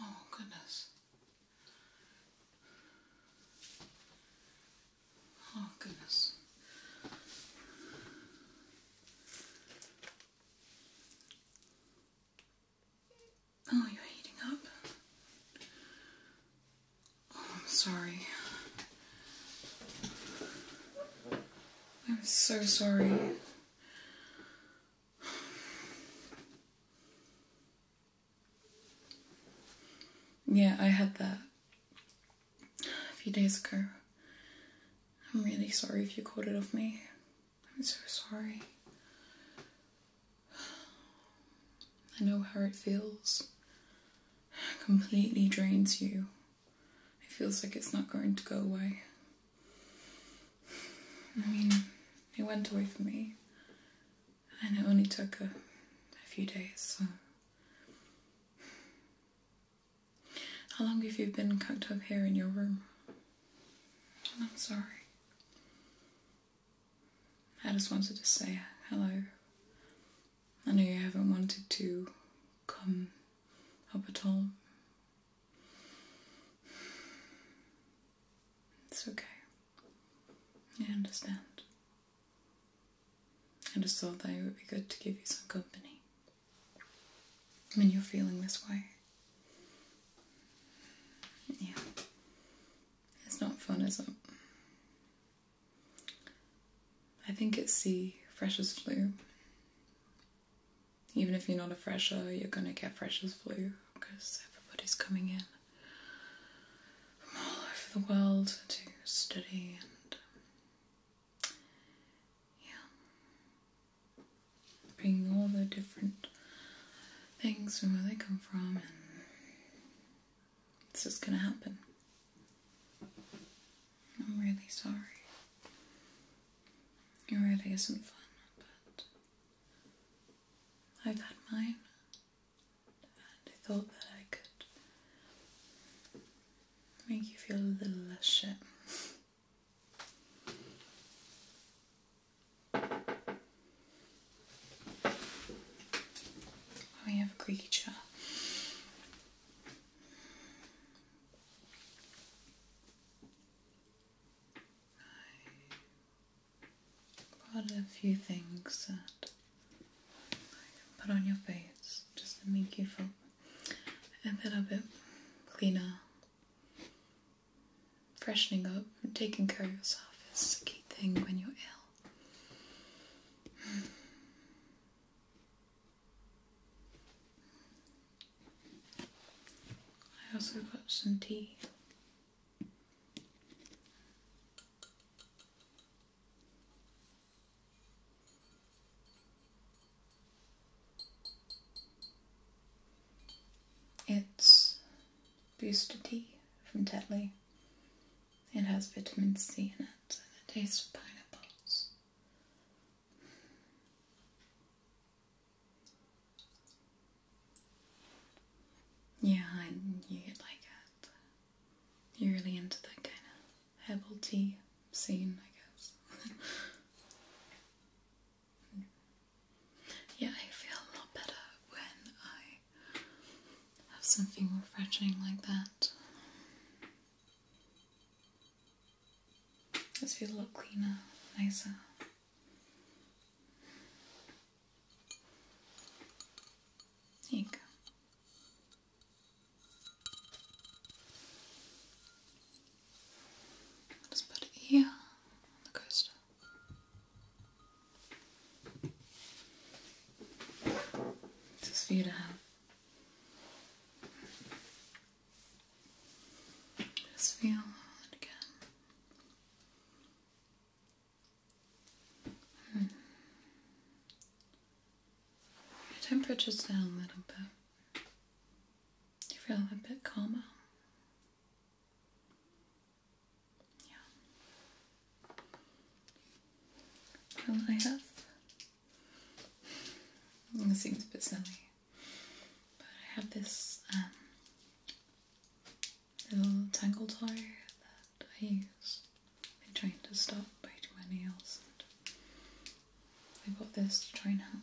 Oh, goodness. Oh, goodness. Oh, you're heating up. Oh, I'm sorry. I'm so sorry. Yeah, I had that a few days ago. I'm really sorry if you caught it off me. I'm so sorry. I know how it feels. completely drains you. It feels like it's not going to go away. I mean, it went away for me and it only took a, few days. How long have you been cooked up here in your room? I'm sorry. I just wanted to say hello. I know you haven't wanted to come up at all. It's okay. I understand. I just thought that it would be good to give you some company when you're feeling this way. Yeah. It's not fun, is it? I think it's the freshest flu. Even if you're not a fresher, you're gonna get freshers flu because everybody's coming in from all over the world to study and yeah, bring all the different things from where they come from, and this is gonna happen. I'm really sorry. It really isn't fun, but I've had mine. I thought that I could make you feel a little less shit. We oh, have a creature. Got a few things that I can put on your face just to make you feel a little bit cleaner. Freshening up and taking care of yourself is a key thing when you're ill. I also got some tea it's Booster Tea from Tetley. It has vitamin C in it and it tastes of pineapples. Yeah, and you get like that. You're really into that kind of herbal tea scene, I guess. yeah, I feel a lot better when I have something refreshing like that. Just feel a lot cleaner, nicer. There you Just put it here on the coaster. Just for you Just feel it again. Your hmm. temperature's down a little bit. You feel a bit calmer. Yeah. Well, I It seems a bit silly, but I have this um, little tangle tire that I use. I'm trying to stop biting my nails I got this to try and help.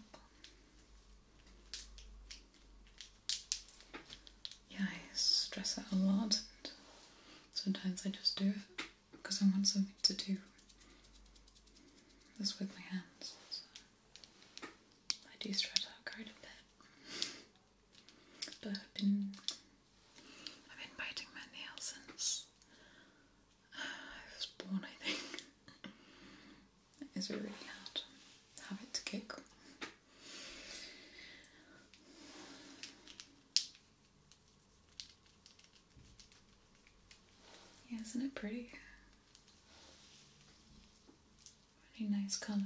Yeah, I stress out a lot and sometimes I just do it because I want something to do this with my hands. So I do stress out quite a bit. But I've been I've been biting my nails since uh, I was born, I think. it's really hard habit to kick. isn't it pretty? Really nice colours.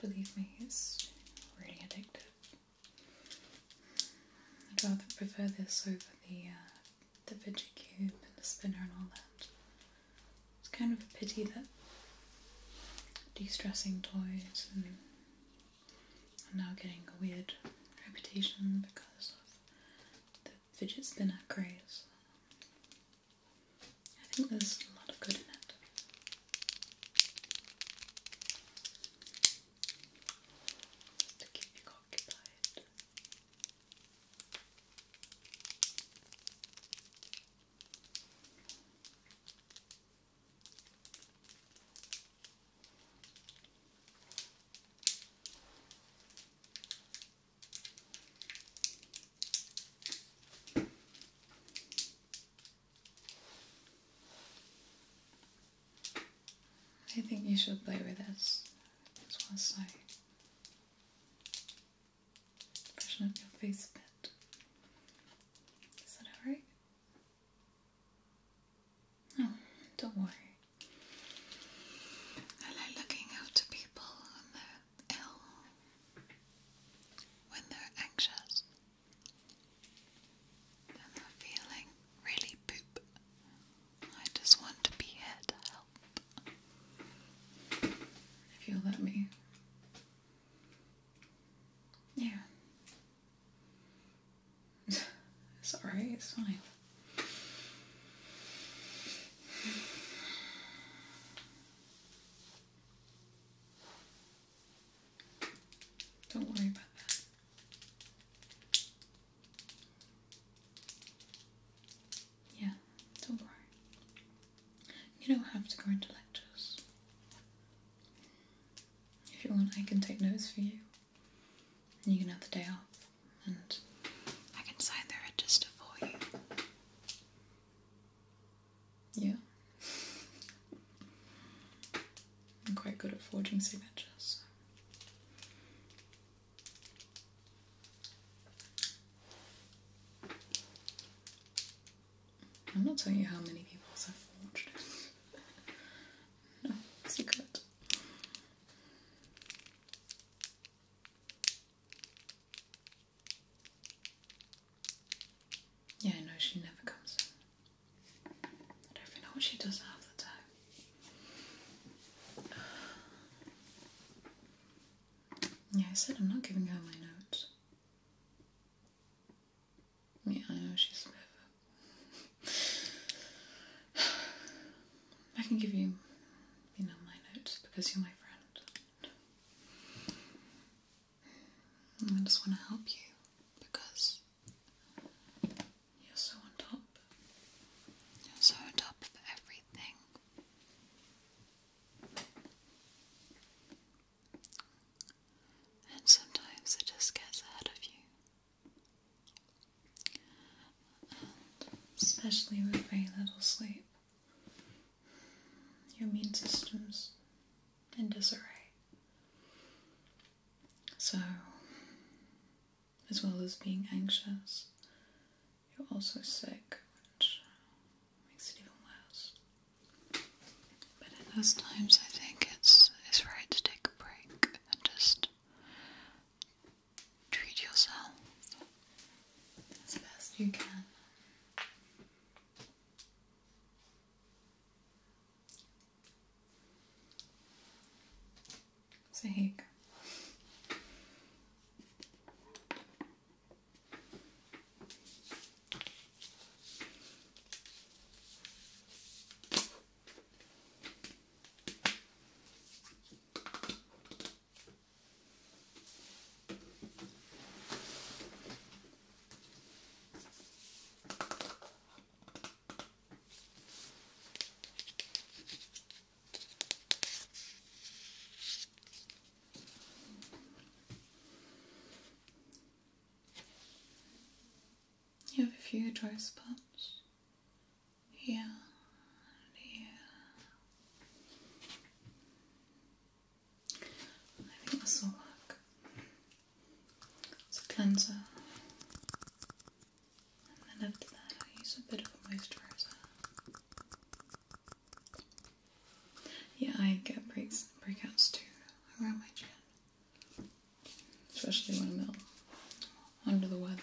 Believe me, it's really addictive. I'd rather prefer this over the uh, the fidget cube and the spinner and all that. It's kind of a pity that de-stressing toys and are now getting a weird reputation because of the fidget spinner craze. I think there's a lot of good in it. To keep you occupied. I think you should play with us. It's once I freshen up your face a bit. Is that alright? oh, don't worry. I like looking after people ill, when they're anxious, and they're feeling really poop. I just want to be here to help. If you'll let me. Yeah. it's it's fine. Don't worry about that. Yeah, don't worry. You don't have to go into lectures. If you want, I can take notes for you, and you can have the day off and I can sign the register for you. Yeah. I'm quite good at forging signatures. I'm not telling you how many people's I've forged. no, secret. Yeah, no, she never comes I don't even know what she does half the Yeah, I said I'm not giving her my notes. Yeah, I know she's a I can give you, you know, my notes because you're my friend. I just want to help you because you're so on top. You're so on top of everything. And sometimes it just gets ahead of you. especially with very little sleep, your immune system's in disarray. So, as well as being anxious, you're also sick, which makes it even worse. But at those times, I think it's it's right to take a break and just treat yourself as best you can. So you you have a few dry spots here and I think this will work. It's a cleanser, and then after that, I use a bit of a moisturizer. Yeah, I get breaks, breakouts too around my chin, especially when I'm out under the weather.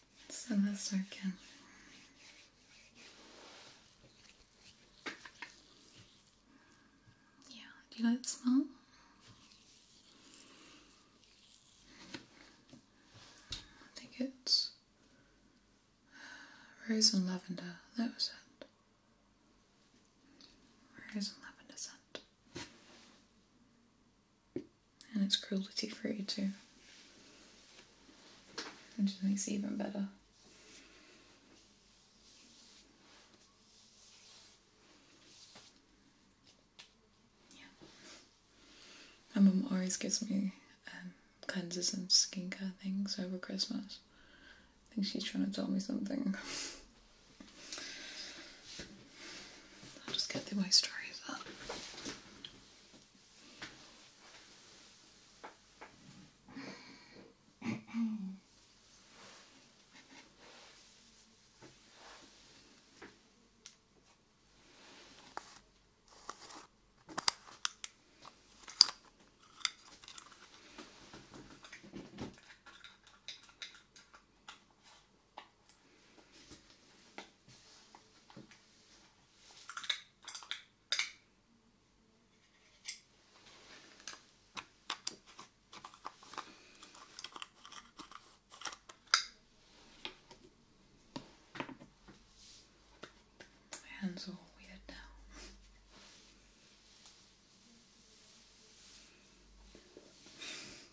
So this again. Yeah, do you like the smell? I think it's rose and lavender. That was it. Rose and lavender scent. And it's cruelty free too. Which makes it even better. Yeah. My mum always gives me um, cleansers and skincare things over Christmas. I think she's trying to tell me something. I'll just get the moisturise up. My hands are weird now.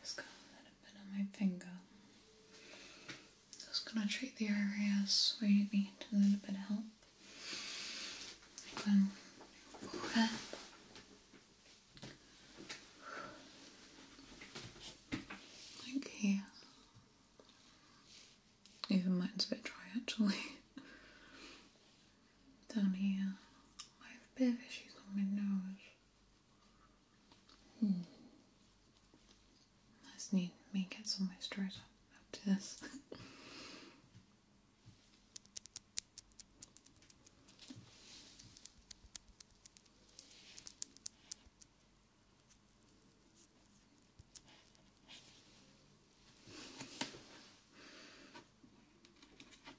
Just got a little bit on my finger. Just gonna treat the area, where you need a little bit of help. Like here. Even mine's a bit dry actually down here. I have a issues on my nose. Hmm. I just need me get some moisturiser after this.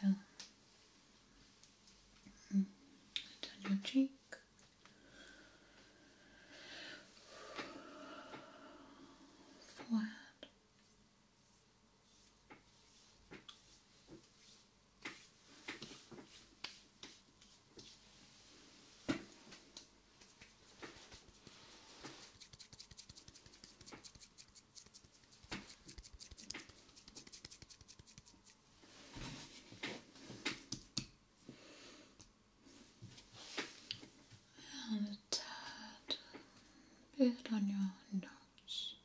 So, mm, down your cheek. Forehead. And a tad bit on your nose.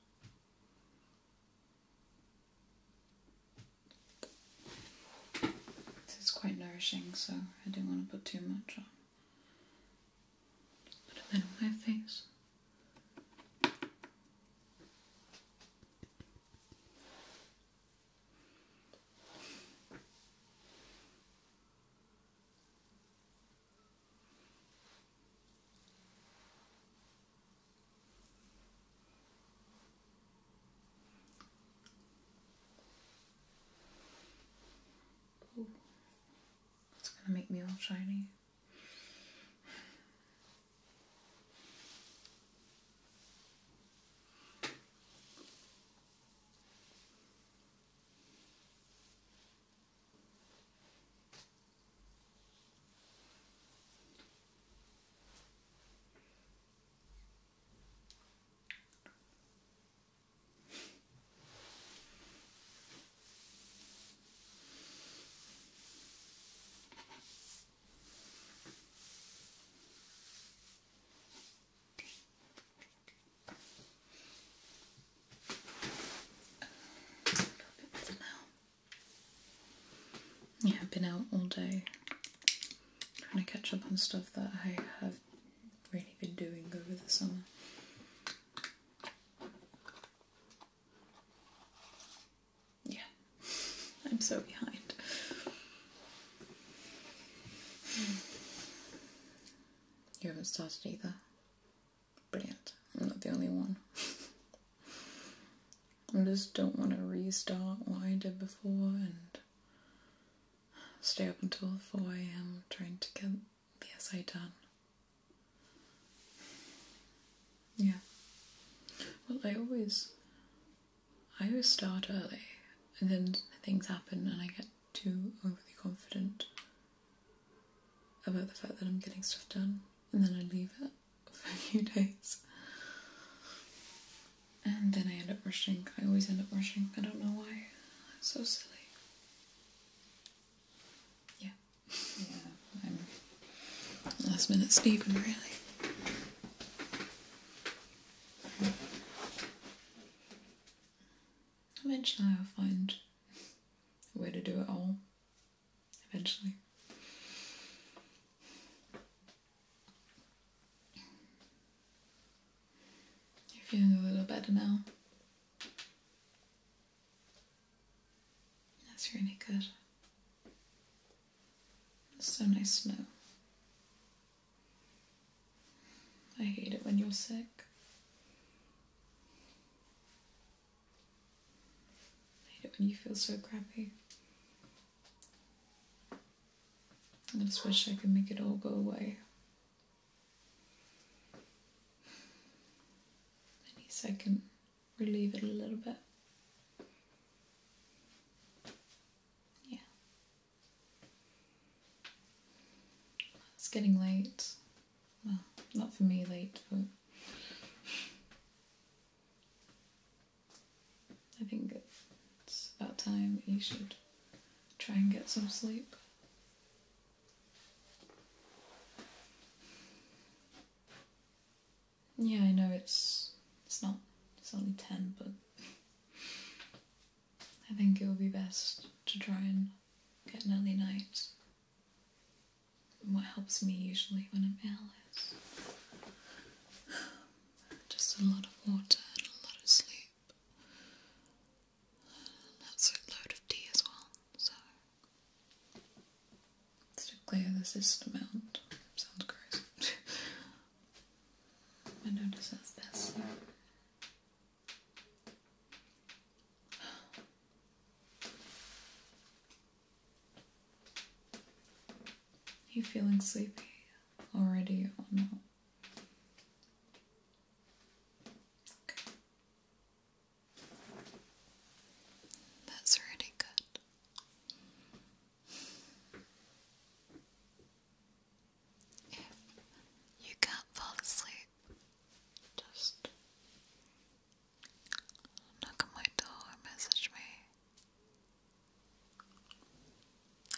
It's quite nourishing, so I don't want to put too much on. Put a bit on my face. Ooh. It's gonna make me all shiny. Yeah, I've been out all day trying to catch up on stuff that I have really been doing over the summer. Yeah, I'm so behind. Hmm. You haven't started either. Brilliant. I'm not the only one. I just don't want to restart what I did before and Stay up until 4 am trying to get the essay done. Yeah. Well, I always, I always start early, and then things happen, and I get too overly confident about the fact that I'm getting stuff done, and then I leave it for a few days. And then I end up rushing. I always end up rushing. I don't know why. It's so silly. Yeah. Yeah. last minute Stephen, really. Eventually, I'll find a way to do it all. Eventually. You're feeling a little better now. That's really good. It's so nice to know. I hate it when you're sick. I hate it when you feel so crappy. I just wish I could make it all go away. I can relieve it a little bit. Yeah. It's getting late. Well, not for me late, but. I think it's about time you should try and get some sleep. Yeah, I know it's it's not it's only ten, but I think it would be best to try and get an early night. And what helps me usually when I'm ill is just a lot of water and a lot of sleep. That's a load of D as well, so let's clear the system out. Sounds gross. I notice this. Are you feeling sleepy already or not? That's really good. If you can't fall asleep, just knock on my door message me.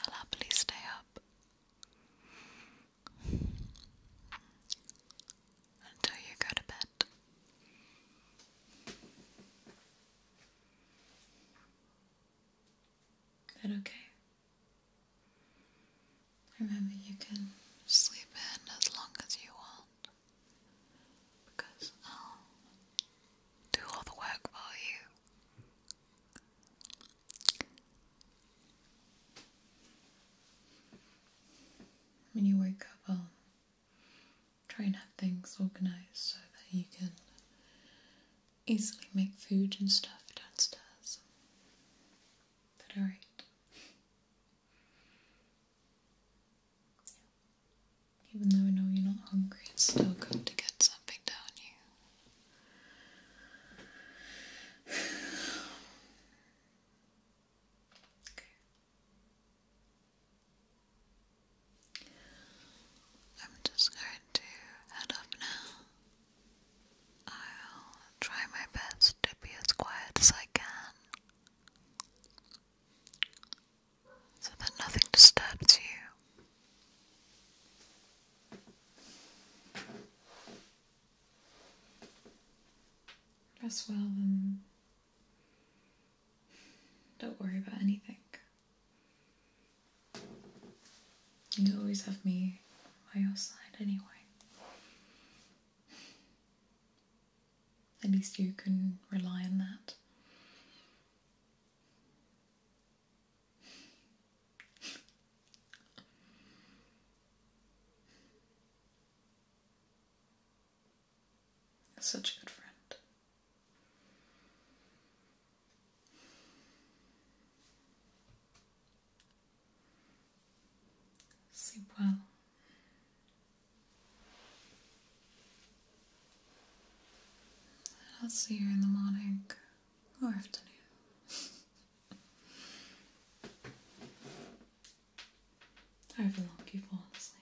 I'll happily stay up until you go to bed. Is that okay? Remember, you can sleep in as long as you want because I'll do all the work for you. When you wake up, I'll try and have things organised so that you can easily make food and stuff downstairs. But alright. Even though I know you're not hungry, it's still good to get something down you. Okay. I'm just going to head up now. I'll try my best to be as quiet as I can so that nothing disturbs you. Rest well and don't worry about anything. You always have me by your side anyway. At least you can rely on that. Such a good friend. Sleep well. I'll see you in the morning or afternoon. However long you have fallen asleep.